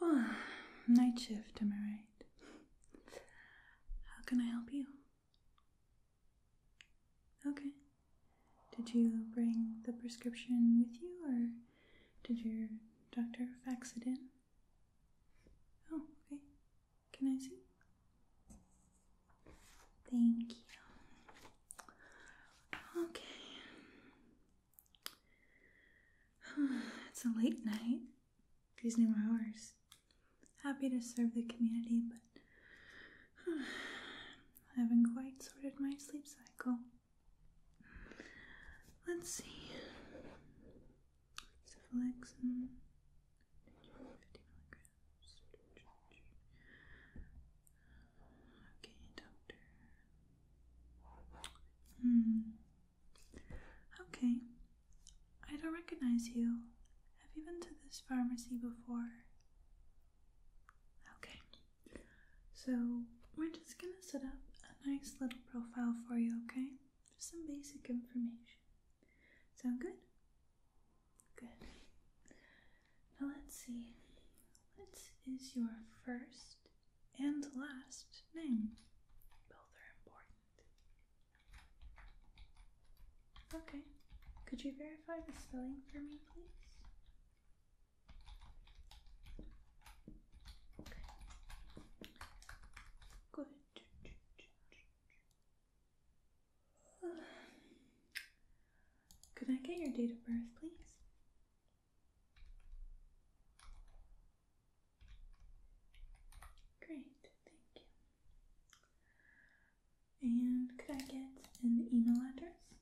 Hi. night shift, am I right? How can I help you? Okay. Did you bring the prescription with you, or did your doctor fax it in? Oh, okay. Can I see? Thank you. Okay. it's a late night. These new hours. Happy to serve the community, but I haven't quite sorted my sleep cycle. Let's see. Cefalexin, 50 milligrams. Okay, doctor. Hmm. Okay. I don't recognize you. Have you been to this pharmacy before? Okay, so we're just gonna set up a nice little profile for you, okay? Just some basic information. Sound good? Good. Now let's see. What is your first and last name? Both are important. Okay, could you verify the spelling for me, please? Could I get your date of birth, please? Great, thank you. And could I get an email address?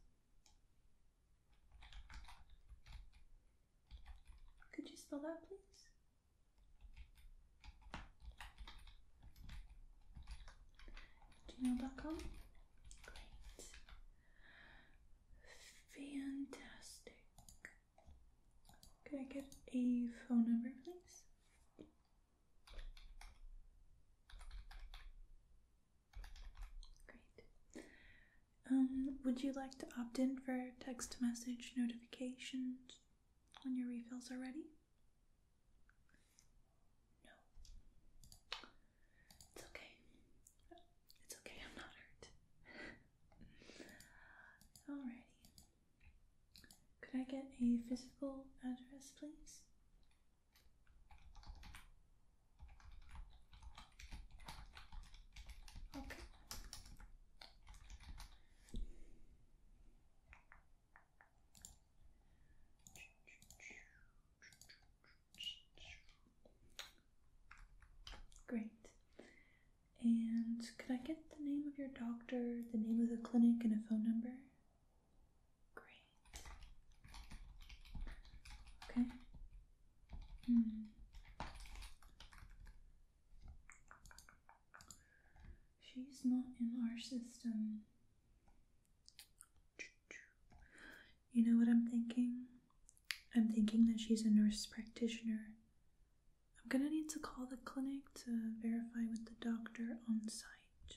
Could you spell that, please? Gmail.com. Great. Fantastic. Could I get a phone number, please? Great. Um, would you like to opt in for text message notifications when your refills are ready? No. It's okay. It's okay, I'm not hurt. Alrighty. Could I get a physical address, please? Okay. Great. And could I get the name of your doctor, the name of the clinic, and a phone number? Great. Okay. Mm. She's not in our system. You know what I'm thinking? I'm thinking that she's a nurse practitioner. I'm gonna need to call the clinic to verify with the doctor on site.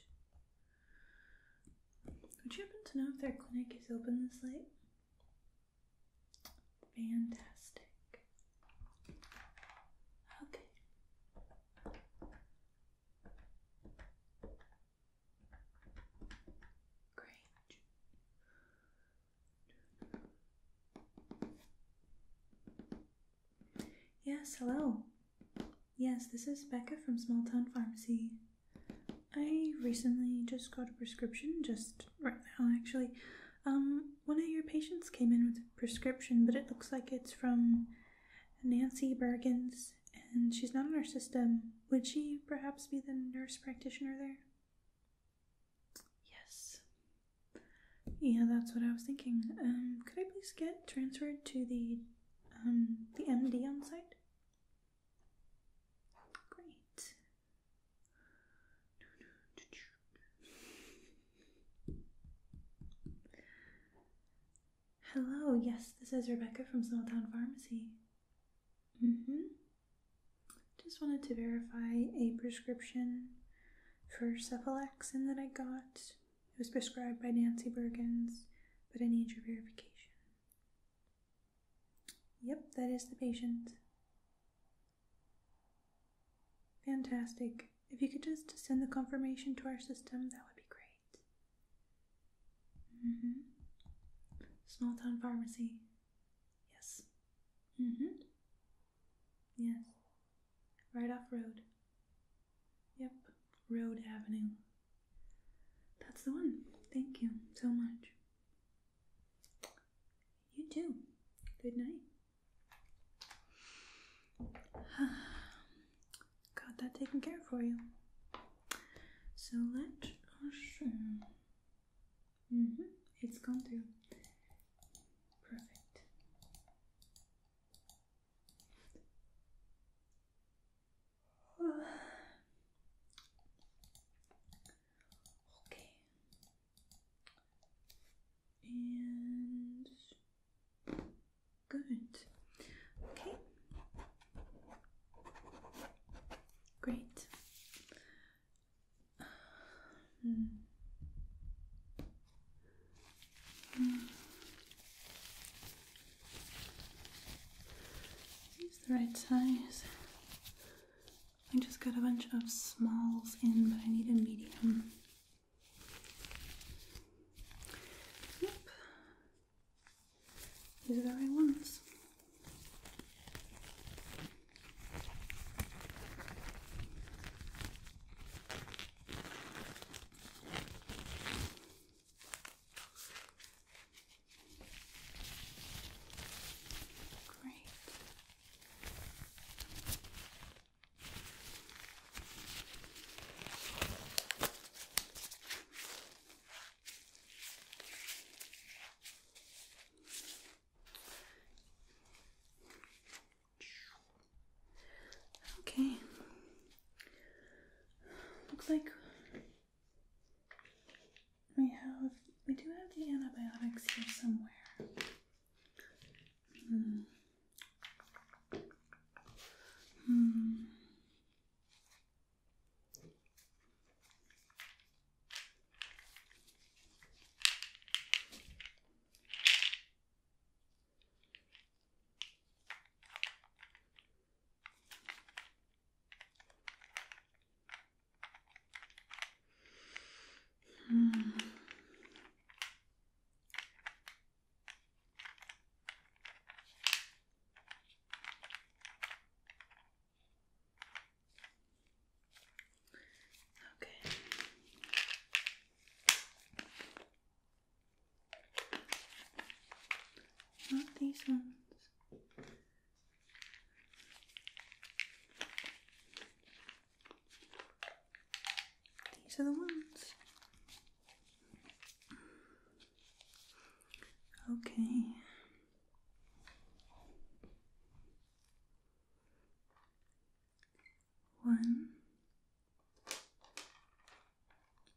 Would you happen to know if their clinic is open this late? Fantastic. Okay. Great. Yes, hello. Yes, this is Becca from Small Town Pharmacy. I recently just got a prescription, just right now actually. Um, one of your patients came in with a prescription, but it looks like it's from Nancy Burgens, and she's not on our system. Would she perhaps be the nurse practitioner there? Yes. Yeah, that's what I was thinking. Um, could I please get transferred to the um, the MD on site? Great. Hello, yes, this is Rebecca from Smalltown Pharmacy. Mm-hmm. Just wanted to verify a prescription for cephalaxin that I got. It was prescribed by Nancy Burgens, but I need your verification. Yep, that is the patient. Fantastic. If you could just send the confirmation to our system, that would be great. Mm-hmm. Small town pharmacy. Yes. Mm-hmm. Yes. Right off road. Yep. Road Avenue. That's the one. Thank you so much. You too. Good night. Got that taken care for you. So let us. Mm -hmm. It's Perfect. Okay. And good. Okay. Great. Mm. Mm. Use the right size. I just got a bunch of smalls in, but I need a medium. Yep. These are the right ones. Great. Okay. Looks like we have, we do have the antibiotics here somewhere. Hmm. Hmm. Hmm. Okay. Not these ones. These are the ones. Okay. One,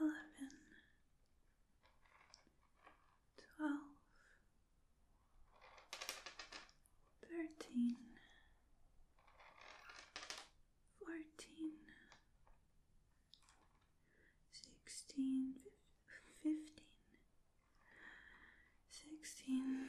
eleven, twelve, thirteen, fourteen, sixteen, fifteen, sixteen.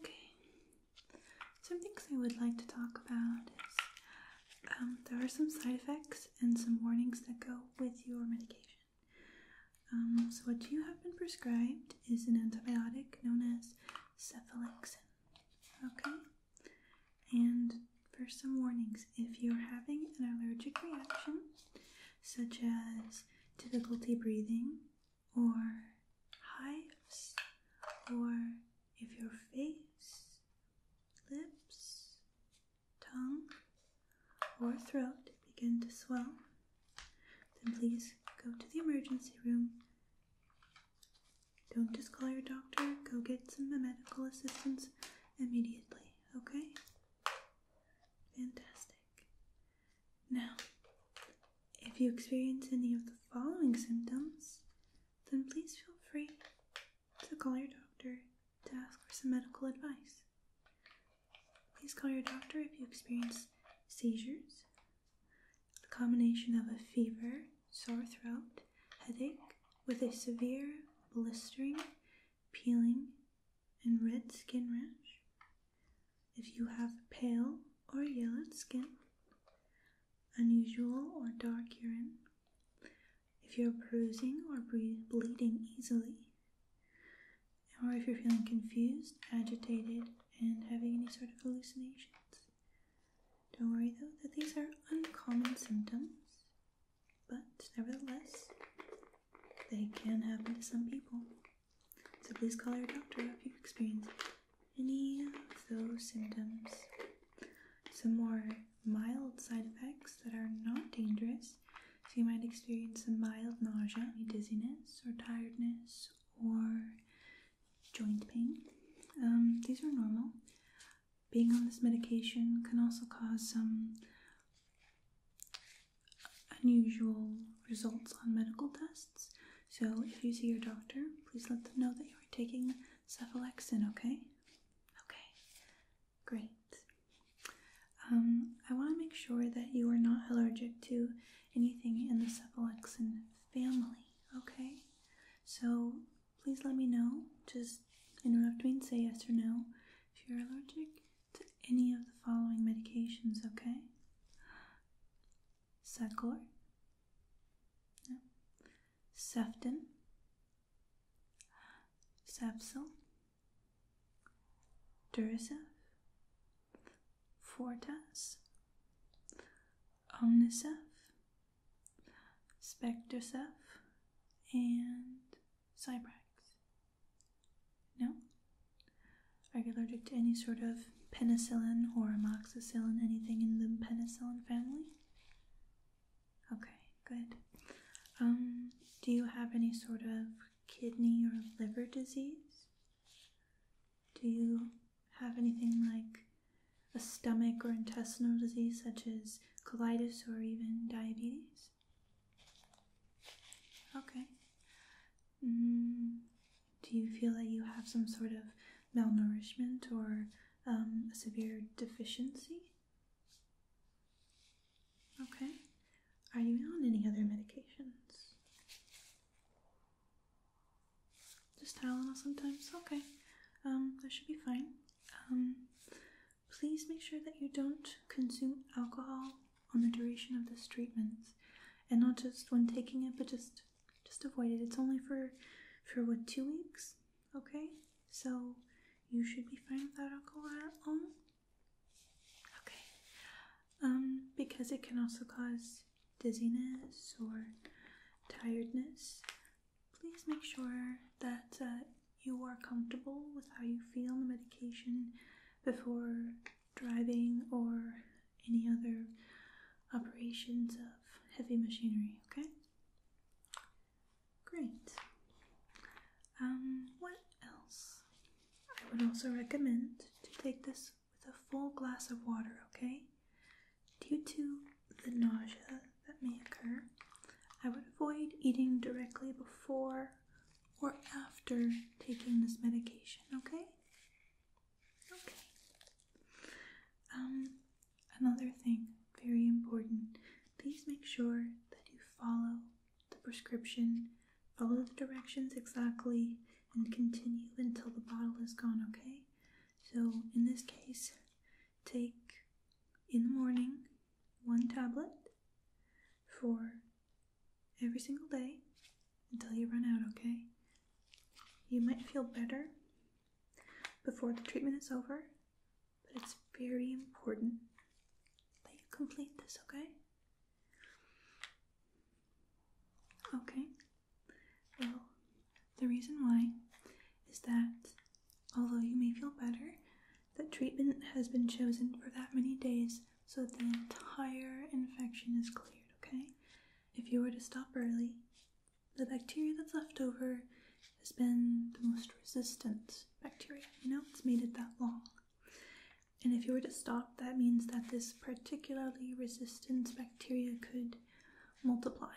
Okay, some things I would like to talk about is um, there are some side effects and some warnings that go with your medication. Um, so what you have been prescribed is an antibiotic known as cephalexin. Okay? And first some warnings. If you're having an allergic reaction, such as difficulty breathing or hives, or if your face, lips, tongue, or throat begin to swell, then please go to the emergency room. Don't just call your doctor, go get some medical assistance immediately, okay? Fantastic. Now, if you experience any of the following symptoms, then please feel free to call your doctor to ask for some medical advice. Please call your doctor if you experience seizures, A combination of a fever, sore throat, headache, with a severe blistering, peeling, and red skin rash. If you have pale or yellowed skin, unusual or dark urine, if you're bruising or bleeding easily, or if you're feeling confused, agitated, and having any sort of hallucinations. Don't worry though that these are uncommon symptoms, but nevertheless, they can happen to some people. So please call your doctor if you experience any of those symptoms. Some more mild side effects that are not dangerous. So you might experience some mild nausea, dizziness or tiredness or joint pain. Um, these are normal. Being on this medication can also cause some unusual results on medical tests. So if you see your doctor, please let them know that you are taking cephalexin, okay? Okay, great. Um, I want to make sure that you are not allergic to anything in the cephalaxin family, okay? So please let me know. Just interrupt me and say yes or no if you're allergic to any of the following medications, okay? Secor, no. Sefton, Sapsil, Duracef, Fortas, Omnisef, Spectresef, and Cyprax. No? Are you allergic to any sort of penicillin or amoxicillin, anything in the penicillin family? Okay, good. Um, do you have any sort of kidney or liver disease? Do you have anything like a stomach or intestinal disease, such as colitis or even diabetes? Okay. Mm, do you feel that you have some sort of malnourishment or um, a severe deficiency? Okay. Are you on any other medications? Just Tylenol sometimes? Okay. Um, that should be fine. Um, please make sure that you don't consume alcohol on the duration of this treatment. And not just when taking it, but just just avoid it. It's only for for what two weeks? Okay? So you should be fine without alcohol Okay. Um, because it can also cause dizziness or tiredness, please make sure that uh, you are comfortable with how you feel on the medication before driving or any other operations of heavy machinery, okay? Great. Um, what else? I would also recommend to take this with a full glass of water, okay? Due to the nausea that may occur, I would avoid eating directly before or after taking this medication, okay? Okay. Um, another thing, very important, please make sure that you follow the prescription, follow the directions exactly, and continue until the bottle is gone, okay? So, in this case, take in the morning one tablet for every single day until you run out, okay? You might feel better before the treatment is over, but it's very important that you complete this, okay? Okay. Well, the reason why is that although you may feel better, the treatment has been chosen for that many days so that the entire infection is cleared, okay? If you were to stop early, the bacteria that's left over has been the most resistant bacteria. You know, it's made it that long. And if you were to stop, that means that this particularly resistant bacteria could multiply,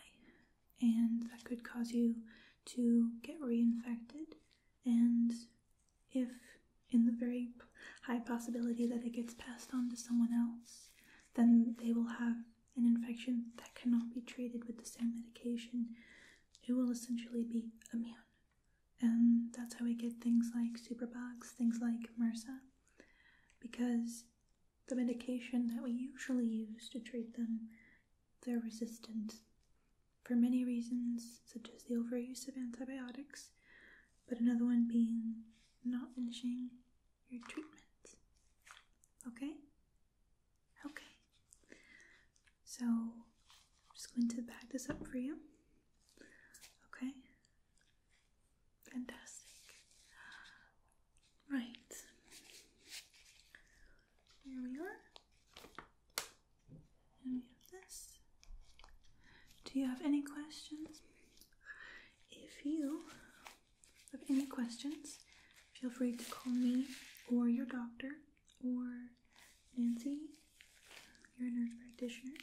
and that could cause you to get reinfected. And if, in the very high possibility that it gets passed on to someone else, then they will have an infection that cannot be treated with the same medication, it will essentially be immune and that's how we get things like superbugs, things like MRSA, because the medication that we usually use to treat them, they're resistant for many reasons, such as the overuse of antibiotics, but another one being not finishing your treatment. Okay? Okay. So, I'm just going to bag this up for you. Okay? Fantastic. Right. Here we are. And we have this. Do you have any questions? If you have any questions, feel free to call me or your doctor or Nancy, your nurse practitioner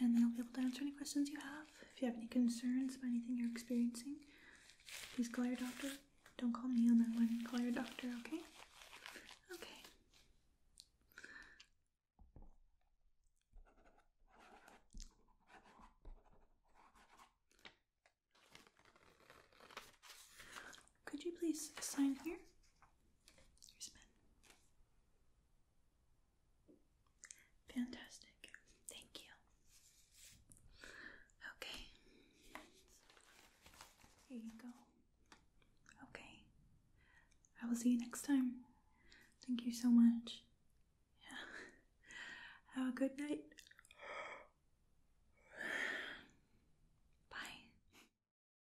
and they'll be able to answer any questions you have. If you have any concerns about anything you're experiencing, please call your doctor. Don't call me on that one. Call your doctor, okay? Okay. Could you please sign here? Here's Ben. Fantastic. Thank you. Okay. Here you go. Okay. I will see you next time. Thank you so much. Yeah. Have a good night. Bye.